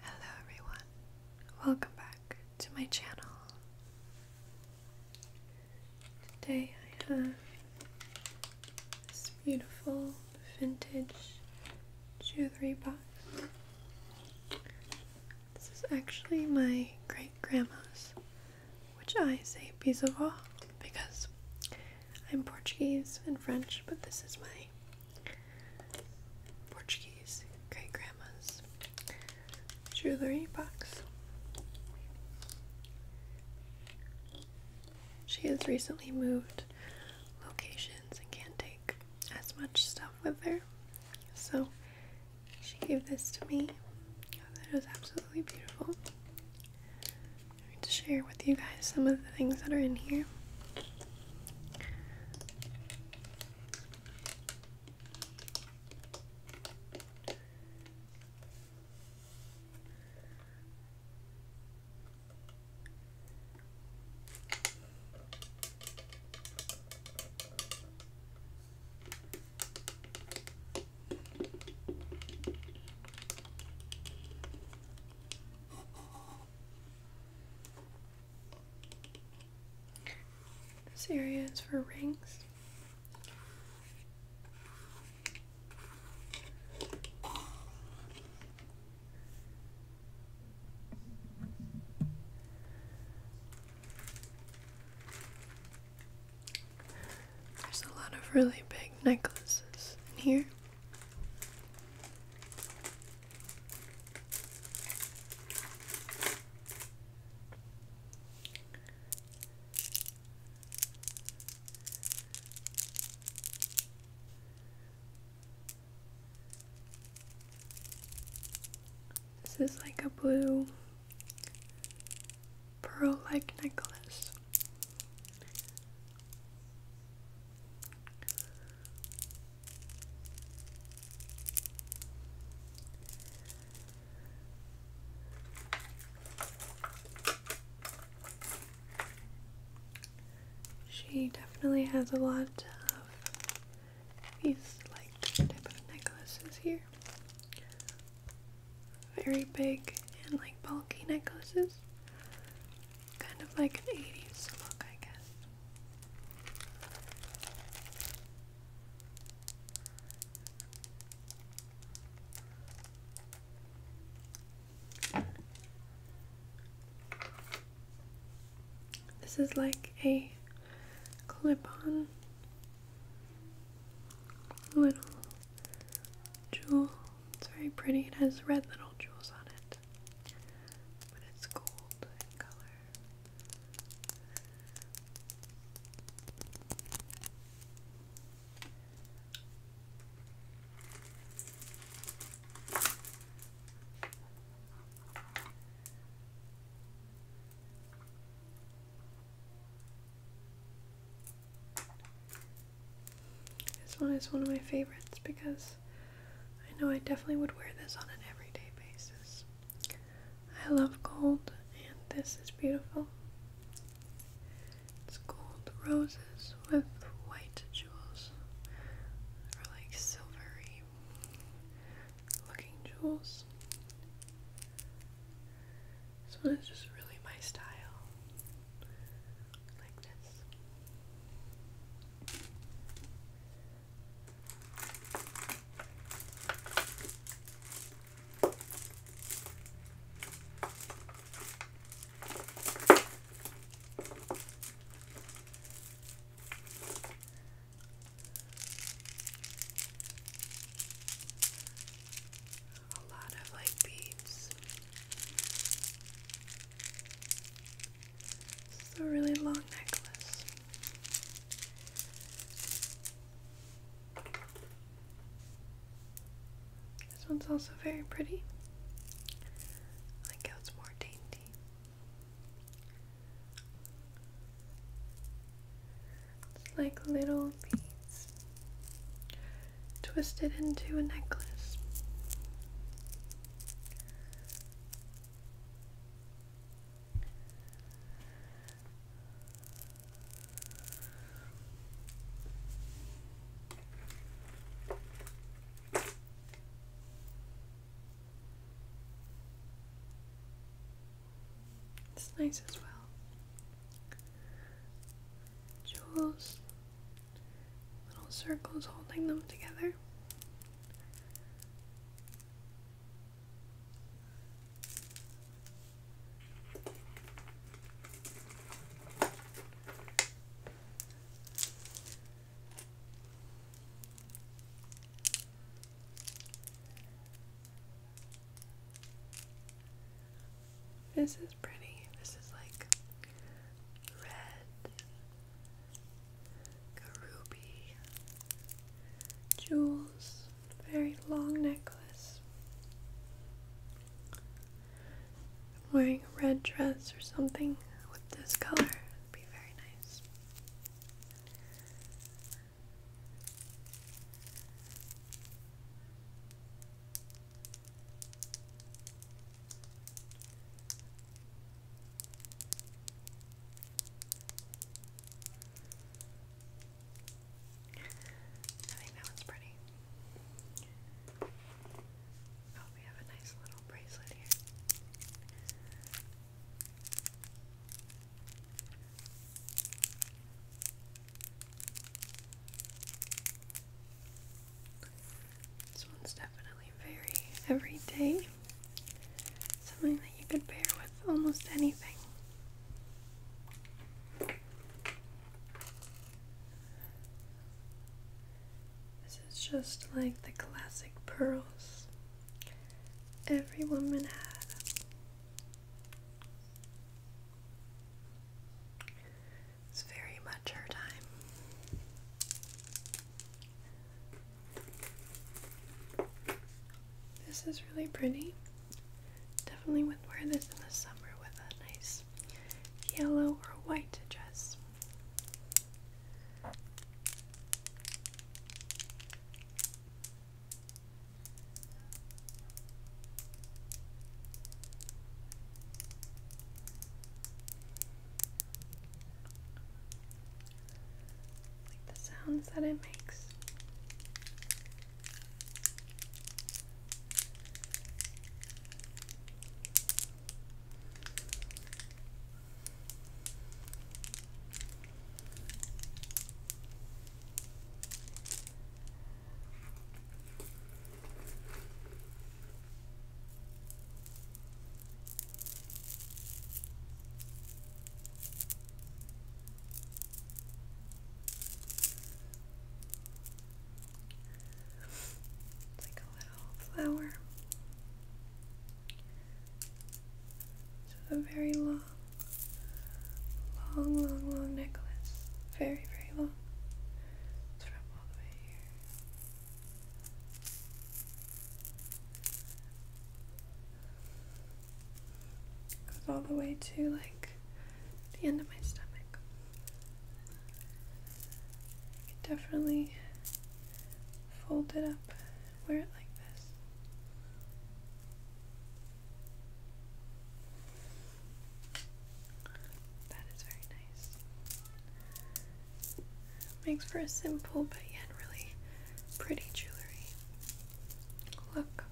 Hello everyone, welcome back to my channel. Today I have this beautiful vintage jewelry box. This is actually my great grandma's, which I say bisavó because I'm Portuguese and French, but this is my Portuguese great grandma's jewelry box. She has recently moved locations and can't take as much stuff with her, so she gave this to me. I was absolutely beautiful to share with you guys some of the things that are in here. This area is for rings. There's a lot of really big necklaces in here. This is like a blue pearl like necklace. She definitely has a lot of these like type of necklaces here. Very big and like bulky necklaces. Kind of like an 80s look, I guess. This is like a clip on little jewel it's very pretty. It has red little jewels on it, but it's gold in color. This one is one of my favorites because I know I definitely would wear this on an everyday basis. I love gold, and this is beautiful. It's gold roses with white jewels, or like silvery looking jewels. This one is just really my style. Like this a lot of like beads. This a really long necklace. This one's also very pretty. I like it's more dainty. It's like little piece, twist it into a necklace. It's nice as well jewels, little circles holding them together. This is pretty. This is like red, ruby, jewels, very long necklace. wearing a red dress or something with this color. would be very nice. I think that one's pretty. Oh, we have a nice little bracelet here. This one's definitely very everyday. Something that you could pair with almost anything. This is just like the classic pearls every woman had. It's very much her time. This is really pretty. Definitely would wear this in the summer with a nice yellow or white dress the sounds that it makes. It's like a little flower. It's a very long Long, long, long necklace. Very, very long. It's from all the way here. goes all the way to like the end of my stomach. definitely fold it up, wear it like this. That is very nice. Makes for a simple but yet really pretty jewelry look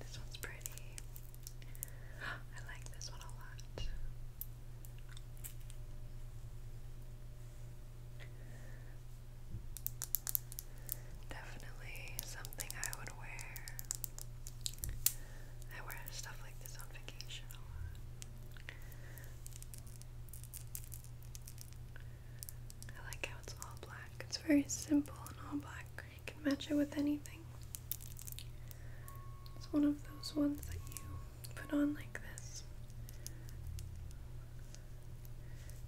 this one's pretty. I like this one a lot. Definitely something I would wear. I wear stuff like this on vacation a lot. I like how it's all black. It's very simple and all black. I can match it with anything. It's one of those ones that you put on like this.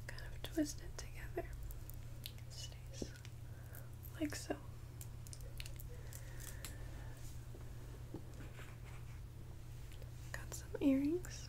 Kind of twist it together. It stays like so. Got some earrings.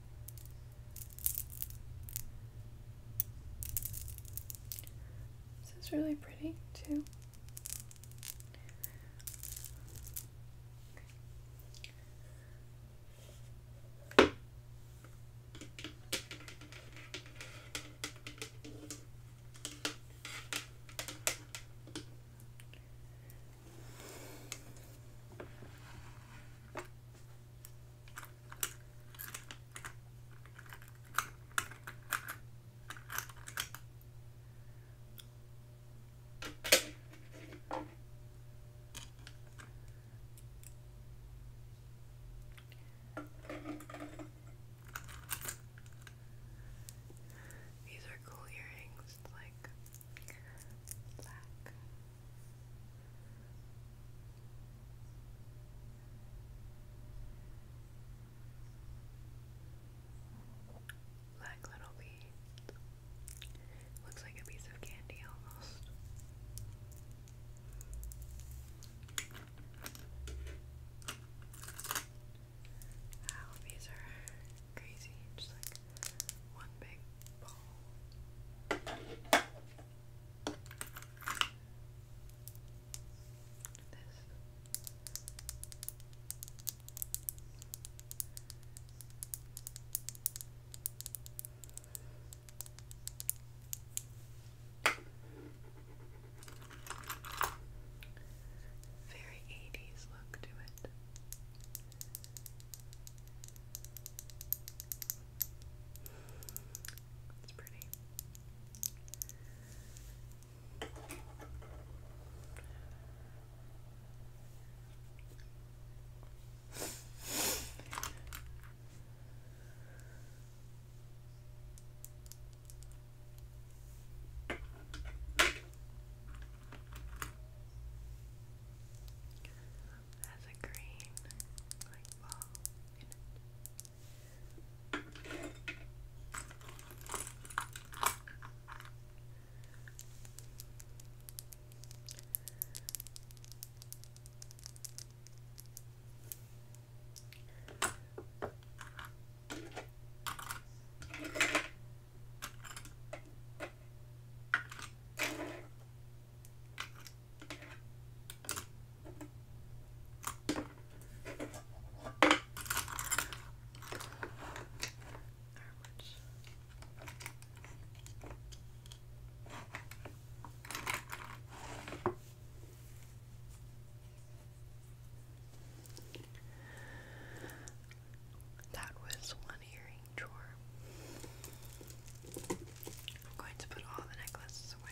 This is really pretty too. These are cool earrings, like black like little beads. Looks like a piece of candy almost. Wow, these are crazy, just like one big ball. This. Very 80s look to it. It's pretty. It has a green like ball in it. It's that was one earring boring drawer. I'm going to put all the necklaces away.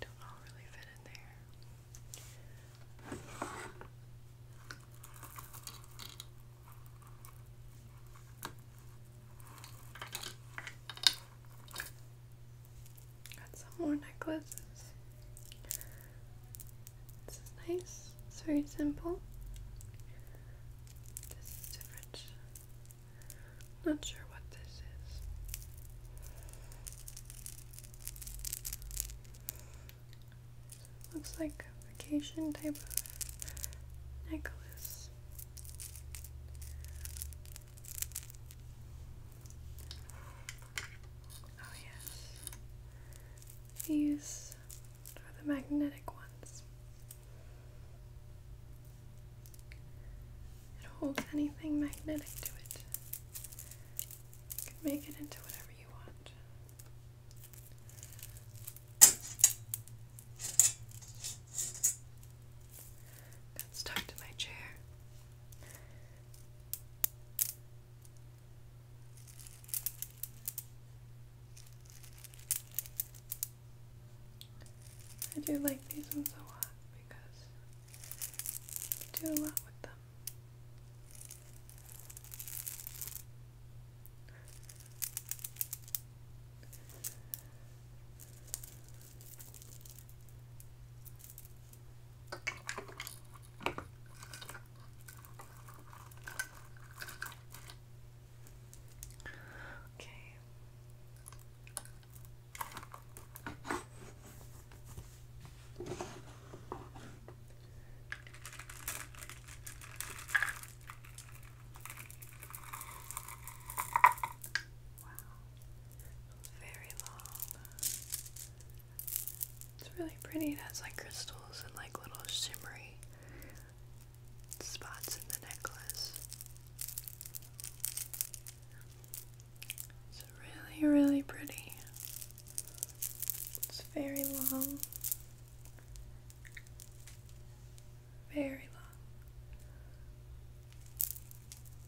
Don't all really fit in there. Got some more necklaces. This is nice. It's very simple. This is different. Not sure what this is. Looks like vacation type of necklace. Oh, yes. These are the magnetic ones. It holds anything magnetic to it. can make it into whatever you want. Got stuck to my chair. I do like these ones a lot because I do a lot with them. Okay. Wow. Very long. It's really pretty. It has like crystals and like little shimmery spots in the necklace. It's really, really pretty. It's very long. Very long.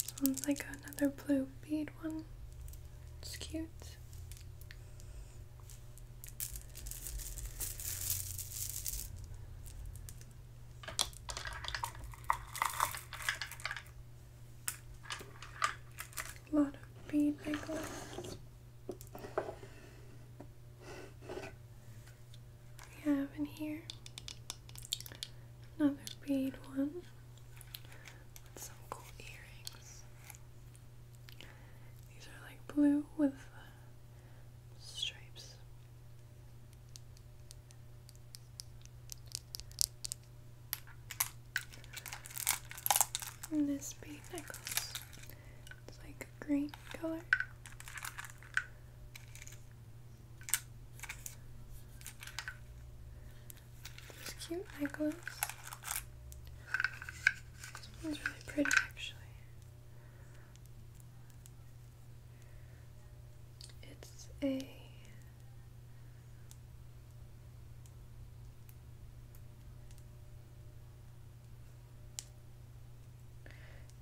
This one's like another blue bead one. It's cute. A lot of bead necklace we have in here. Another bead one with some cool earrings. These are like blue with uh, stripes. And this bead necklace. It's like green color. This cute necklace. This one's really pretty actually. It's a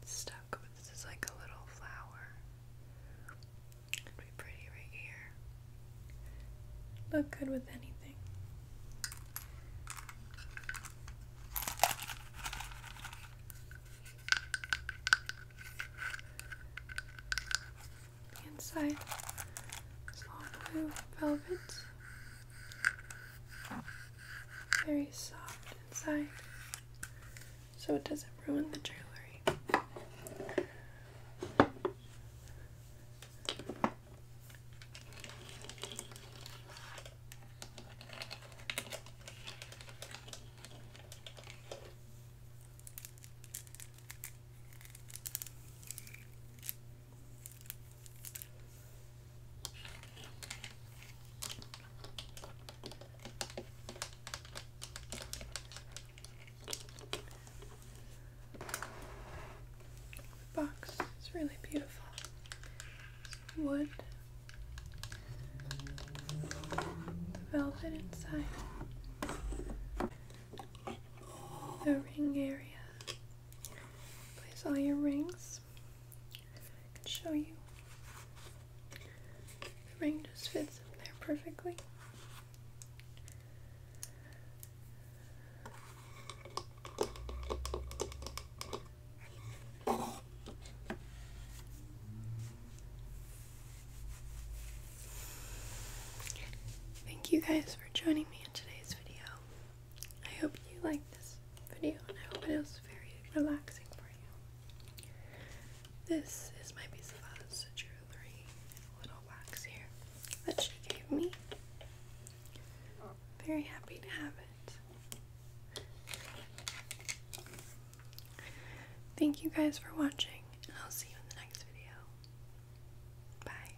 stuck, this is like a little flower. It'd be pretty right here. Look good with anything. The inside is all blue velvet very soft inside so it doesn't ruin the jewelry. The box is really beautiful. It's wood. The velvet inside. The ring area. Place all your rings. I can show you. The ring just fits in there perfectly. Thank you guys for joining me in today's video. I hope you like this video and I hope it was very relaxing for you. This is my piece of Oz jewelry little box here that she gave me. Very happy to have it. Thank you guys for watching, and I'll see you in the next video. Bye.